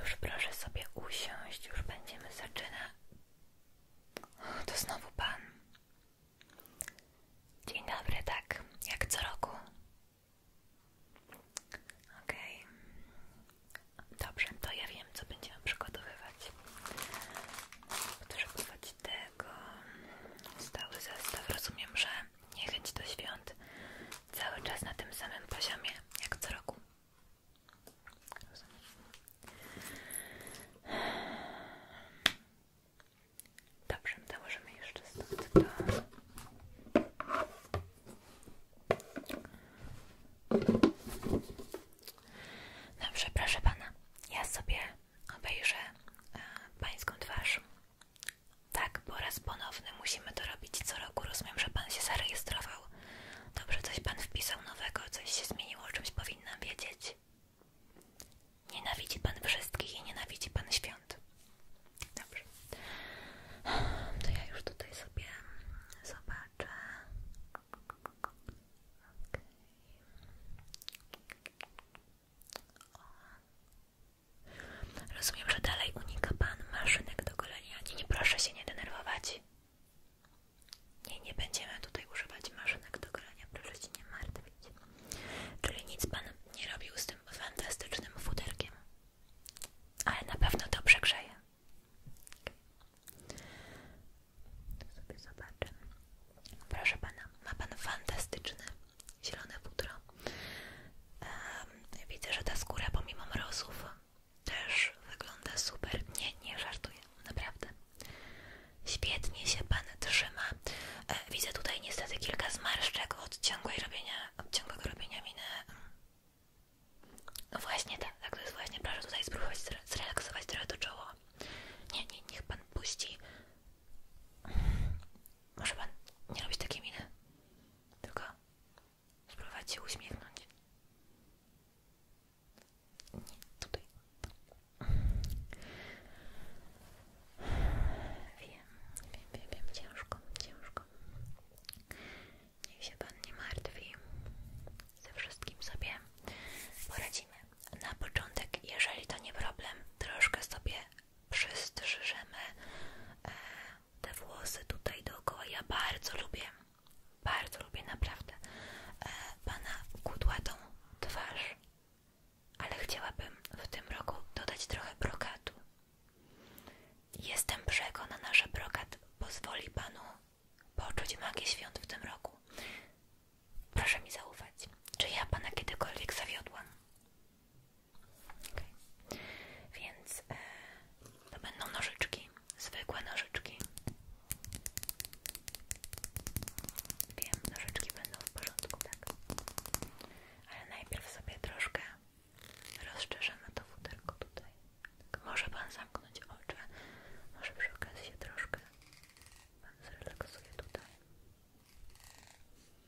Już proszę sobie usiąść, już będziemy zaczynać. To znowu pan. Dzień dobry, tak, jak co roku. Okej. Dobrze, to ja wiem, co będziemy przygotowywać. Potrzebować tego. Stały zestaw. Rozumiem, że niechęć do świąt cały czas na tym samym poziomie jak co roku. Dobrze, to możemy jeszcze stąd do... Dobrze, proszę pana, ja sobie obejrzę e, pańską twarz tak, bo raz ponowny musimy to robić co roku. Rozumiem, że pan się zarejestrował. Dobrze, coś pan wpisał nowego, coś się zmieniło, o czymś powinnam wiedzieć. Nienawidzi pan wszystkich i nienawidzi pan świąt. Dobrze. To ja już tutaj sobie zobaczę. Okay. O, Rozumiem, że dalej unika pan maszynek do golenia. Nie, nie proszę się nie denerwować. Nie, nie będziemy tutaj używać maszynek do golenia, proszę się nie martwić. Czyli nic pan nie robił z tym fantastycznym futerkiem. Ale na pewno dobrze grzeje. zobaczę. Proszę pana, ma pan fantastyczny zielone pudro. widzę, że ta skóra pomimo mrozów też wygląda super. Nie, nie żartuję, naprawdę. Świetnie się Pan trzyma. E, widzę tutaj niestety kilka zmarszczek od ciągłej robienia, od ciągłego robienia miny. No właśnie tak, tak to jest właśnie. Proszę tutaj spróbować zrelaksować trochę to czoło. Nie, nie, niech Pan puści. Może Pan nie robić takiej miny. Tylko spróbować się uśmiechnąć. Nie, tutaj. Wiem, wiem, wiem, wiem, ciężko, ciężko. Niech się Pan nie martwi. Ze wszystkim sobie poradzimy. Na początek, jeżeli to nie problem, troszkę sobie przystrzyżemy e, te włosy tutaj dookoła. Ja bardzo lubię, bardzo lubię naprawdę e, Pana kudłatą twarz, ale chciałabym w tym roku dodać trochę brokatu. Jestem przekonana, że brokat pozwoli Panu poczuć magię świąt w tym roku. Proszę mi zaufać, czy ja Pana kiedykolwiek zawiodłam? Więc e, to będą nożyczki, zwykłe nożyczki. Wiem, nożyczki będą w porządku, tak? Ale najpierw sobie troszkę rozszerzymy to tylko tutaj. Tak, może Pan zamknąć oczy, może przy okazji się troszkę Pan zrelaksuje tutaj.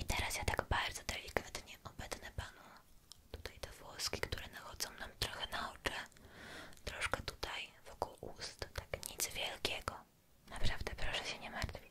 I teraz ja tak bardzo delikatnie obetnę panu tutaj te włoski, które nachodzą nam trochę na oczy. Troszkę tutaj wokół ust, tak nic wielkiego. Naprawdę proszę się nie martwić.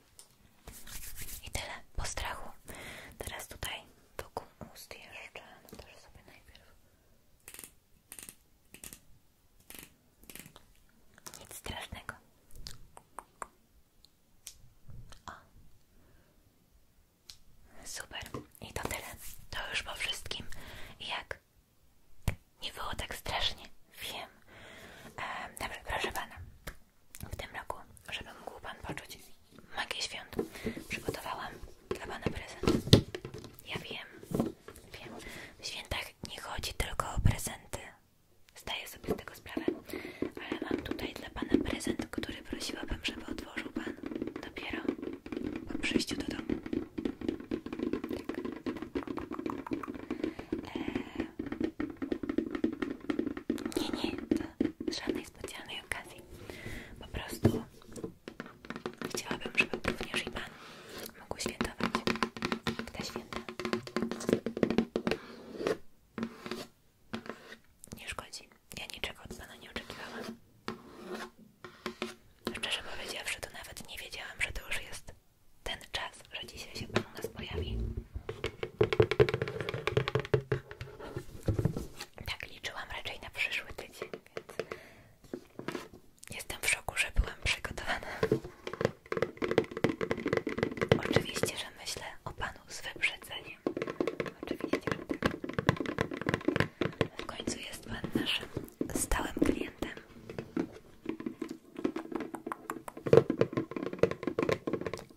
I tyle, po strachu. Teraz tutaj wokół ust jeszcze, no też sobie najpierw. Nic strasznego. O. Super. I to tyle. To już po wszystkim. Jak? Nie było tak strasznie. Wiem. E, dobra, proszę pana w tym roku, żeby mógł Pan poczuć magię świąt. Przygotowałam dla Pana prezent. Ja wiem, wiem. W świętach nie chodzi tylko o prezenty. Zdaję sobie z tego sprawę, ale mam tutaj dla Pana prezent, który prosiłabym, żeby odłożył Pan dopiero po przyjściu do domu. Eee, nie, nie, to żadnej specjalnej okazji. Po prostu chciałabym, żeby również i Pan mógł świętować te święta. Nie szkodzi. Ja niczego od Pana nie oczekiwałam. Szczerze powiedziawszy, to nawet nie wiedziałam, że to już jest ten czas, że dzisiaj się Pan u nas pojawi. Tak liczyłam raczej na przyszły tydzień, więc jestem w szoku, że byłam przygotowana. Oczywiście, że myślę o Panu z wyprzedzeniem. Oczywiście, że tak. W końcu jest Pan naszym stałym klientem.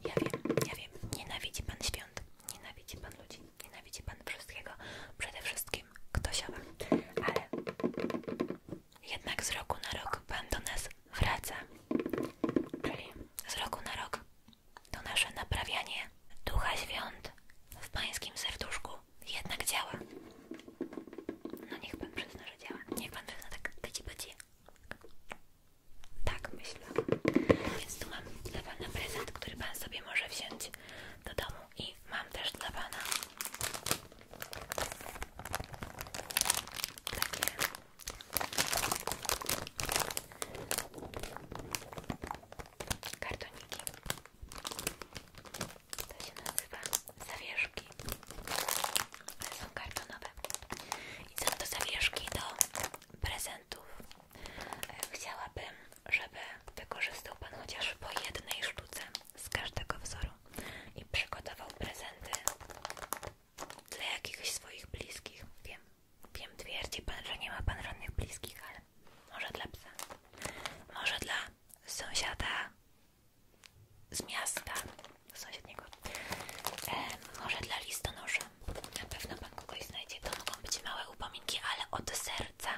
Ja wiem, ja wiem, nienawidzi pan świąt, nienawidzi pan ludzi, nienawidzi pan wszystkiego, przede wszystkim ktośowa, ale jednak z roku na rok pan do nas wraca, czyli z roku na rok to nasze naprawianie ducha świąt w pańskim serduszku jednak działa. No niech pan przyzna, że działa. Niech pan przyzna tak, byci, byci. Tak myślę. Więc tu mam dla Pana prezent, który Pan sobie może wziąć do domu i mam też dla Pana takie kartoniki. To się nazywa zawierz ale są kartonowe i są to zawieszki do prezentów e, chciałabym, żeby wykorzystał Pan chociaż po jednej sztuce z każdego wzoru i przygotował prezenty dla jakichś swoich bliskich wiem, wiem, twierdzi Pan, że nie ma Pan żadnych bliskich, ale może dla psa może dla sąsiada z miasta do sąsiedniego. może dla listonosza. Na pewno pan kogoś znajdzie. To mogą być małe upominki, ale od serca.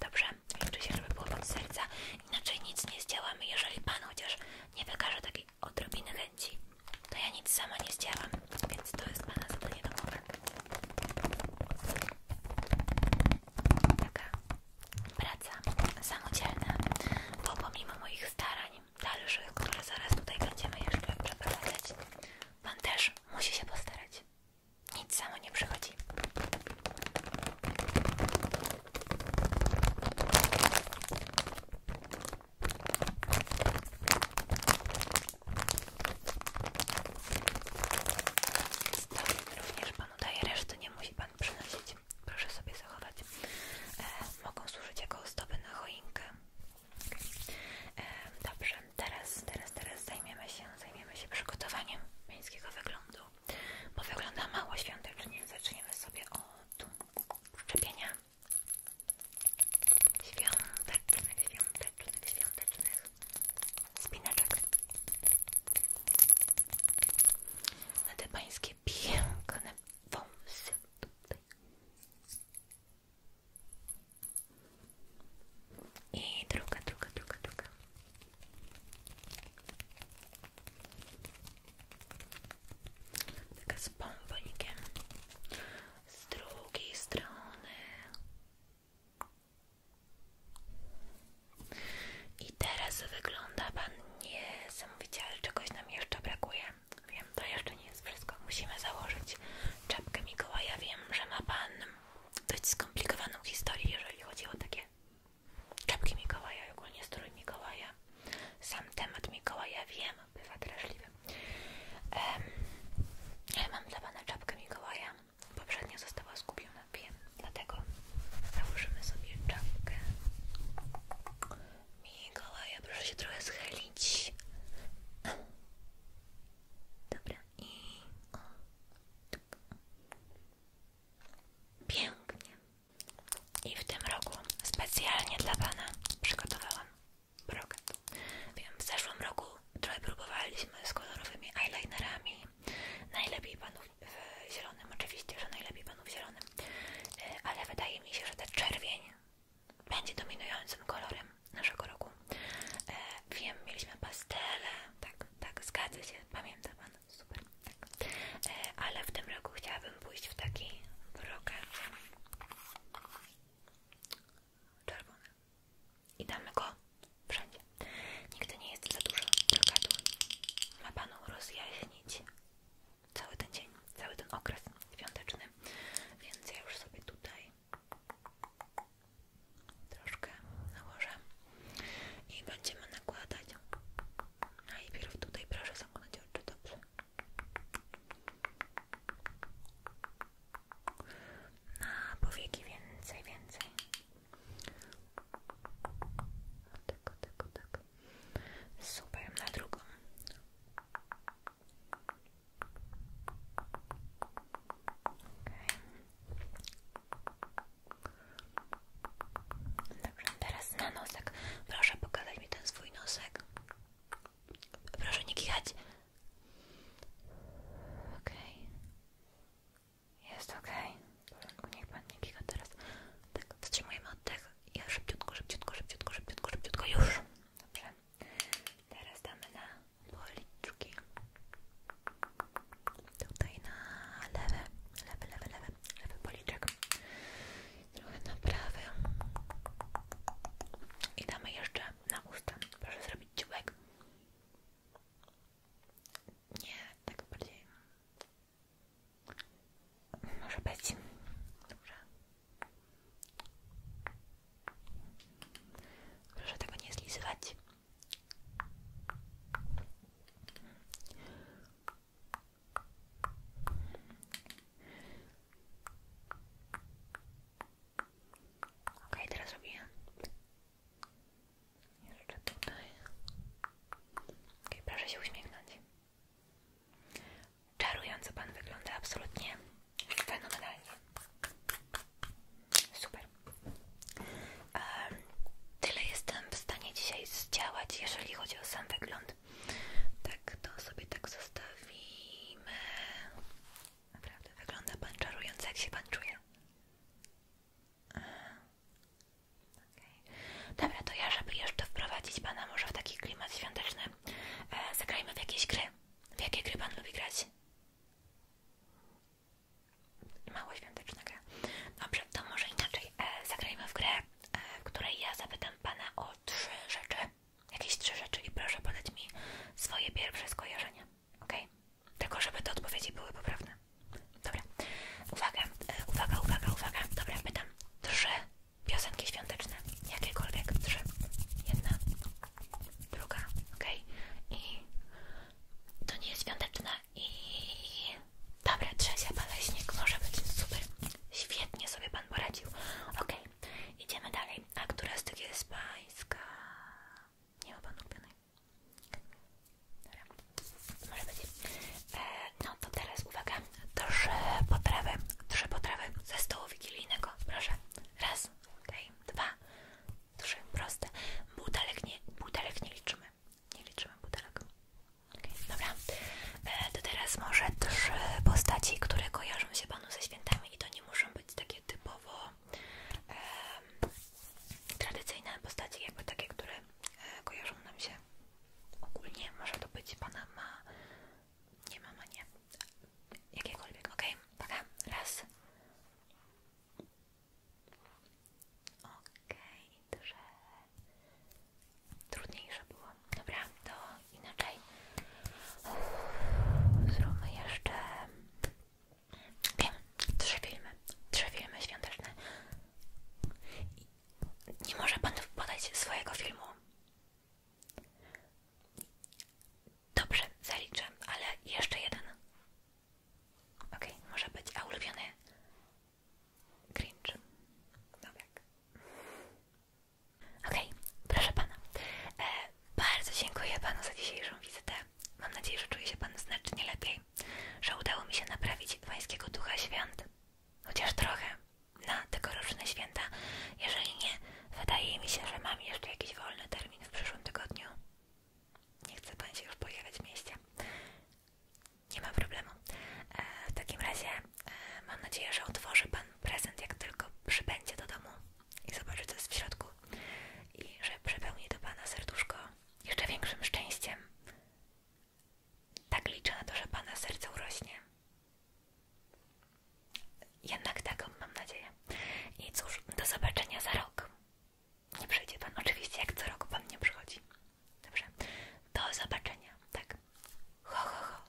Dobrze? Oczywiście, żeby było od serca. Inaczej nic nie zdziałamy. Jeżeli pan chociaż nie wykaże takiej odrobiny chęci, to ja nic samo nie zdziałam. Więc to jest pana zadanie domowe. Taka praca samodzielna, bo pomimo moich starań dalszych, które zaraz tutaj będziemy jeszcze przeprowadzać, Pan też musi się postarać. Nic samo nie przychodzi. Również Panu daje resztę nie musi Pan przynosić. Proszę sobie zachować. E, mogą służyć jako ozdoby na choinkę. E, dobrze, teraz, teraz, teraz zajmiemy się, zajmiemy się przygotowaniem miejskiego wyglądu, bo wygląda mało świątecznie. Zaczniemy sobie od szczepienia świątecznych, świątecznych, świątecznych spinaczek na te pańskie piękne wąsy tutaj. I druga, druga, druga, druga. z bombonikiem. Z drugiej strony. I teraz wygląda pan niesamowicie niesamowicie, ale czegoś nam jeszcze brakuje. Wiem, to jeszcze nie jest wszystko. Musimy założyć czapkę Mikołaja. Wiem, że ma pan dość skomplikowaną historię, jeżeli chodzi o takie czapki Mikołaja, ogólnie strój Mikołaja. Sam temat Mikołaja, wiem, bywa drażliwy. ale mam dla pana czapkę Mikołaja. poprzednio została skupiona, wiem, dlatego założymy sobie czapkę. Mikołaja, proszę się trochę schylić. Dobra, i o. Pięknie. I w tym roku specjalnie dla Pana przygotowałam brokat. w zeszłym roku trochę próbowaliśmy z kolorowymi eyelinerami. Najlepiej panów w zielonym, oczywiście, że najlepiej panów w zielonym, E, ale wydaje mi się, że ten czerwień będzie dominującym kolorem naszego roku. E, wiem, mieliśmy pastele, tak, tak, zgadza się, pamięta Pan, super, tak. e, Ale w tym roku chciałabym pójść w taki brokat czerwony i damy go wszędzie. Nigdy nie jest za dużo brokatu. Ma Panu rozjaśnić cały ten dzień, cały ten okres świąteczny, więc ja już sobie tutaj troszkę nałożę i będziemy nakładać. a Najpierw tutaj proszę zamknąć oczy, dobrze? Na powieki więcej, więcej. O, tak, o, tak, Super, na drugą. Okay. Dobrze, teraz na nosek. Proszę pokazać mi ten swój nosek. Proszę nie kichać. Okej. Jest OK. Okay. W niech pan nie kicha teraz. Tak, wstrzymujemy tego? Ja szybciutko, szybciutko, szybciutko, szybciutko, szybciutko, już. Dobrze. Teraz damy na policzki. Tutaj na lewy, lewy, lewy, lewy, lewy policzek. Trochę na prawy. I damy jeszcze na usta. Proszę zrobić ciułek. Nie, tak bardziej może być. Dobrze. Proszę tego nie zlizywać. Ok, teraz robię jeszcze Ok, proszę się uśmiechnąć. Czarująco Pan wygląda absolutnie fenomenalnie. Super. tyle jestem w stanie dzisiaj zdziałać, jeżeli chodzi o sam wygląd. Tak, to sobie tak zostawimy. Naprawdę, wygląda Pan czarująco. Jak się Pan czuje? Dobra, to ja, żeby jeszcze wprowadzić Pana może w taki klimat świąteczny, e, zagrajmy w jakieś gry. W jakie gry Pan lubi grać? Mało świąteczna gra. Dobrze, to może inaczej. E, zagrajmy w grę, w e, której ja zapytam Pana o trzy rzeczy. Jakieś trzy rzeczy i proszę podać mi swoje pierwsze skojarzenia. Ok? Tylko żeby te odpowiedzi były poprawne. Dobra, uwaga, e, uwaga, uwaga, uwaga. Dobra, pytam. Trzy piosenki świąteczne. Jakiekolwiek. Trzy. Jedna, druga. ok I to nie jest świąteczne. I dobra, trzecia baleśnik może być super. Świetnie sobie pan poradził. ok idziemy dalej. A która z tych jest pańska? Nie ma pan ulubionej. Dobra, może być. E, no to teraz uwaga, trzy potrawy, trzy potrawy ze stołu wigilijnego, proszę. Raz, ok okay. dwa, trzy, proste. Butelek nie, butelek nie liczymy, nie liczymy butelek. Okay. Dobra, e, to teraz może trzy postaci, które kojarzą się Panu ze świętami i to nie muszą być takie typowo tradycyjne postaci, jakby takie, które e, kojarzą nam się Ogólnie może to być pana ma. Nie mama, nie. Jakiekolwiek, ok? Taka, raz. Ok, że trudniejsze było. Dobra, to inaczej. Zróbmy jeszcze. Wiem, trzy filmy. Trzy filmy świąteczne. Nie może pan podać swojego filmu. Dobrze, zaliczę, ale jeszcze jeden. OK, może być, a ulubiony cringe. Dobra. No tak. Okej, okay, proszę pana. E, bardzo dziękuję panu za dzisiejszą wizytę. Mam nadzieję, że czuje się pan znacznie lepiej, że udało mi się naprawić pańskiego ducha świąt. Chociaż trochę na tegoroczne święta. Jeżeli nie, wydaje mi się, że mam jeszcze jakiś wolny termin w przyszłym tygodniu. Nie chce Pan się już pojawiać w mieście. Nie ma problemu. E, w takim razie e, mam nadzieję, że otworzy Pan prezent, jak tylko przybędzie do domu i zobaczy, co jest w środku. I że przepełni do Pana serduszko jeszcze większym szczęściem tak liczę na to, że Pana serce urośnie. Jednak tak, mam nadzieję. I cóż, do zobaczenia za rok. Nie przyjdzie Pan, oczywiście, jak co roku Pan nie przychodzi. Dobrze, do zobaczenia, tak. Ho, ho,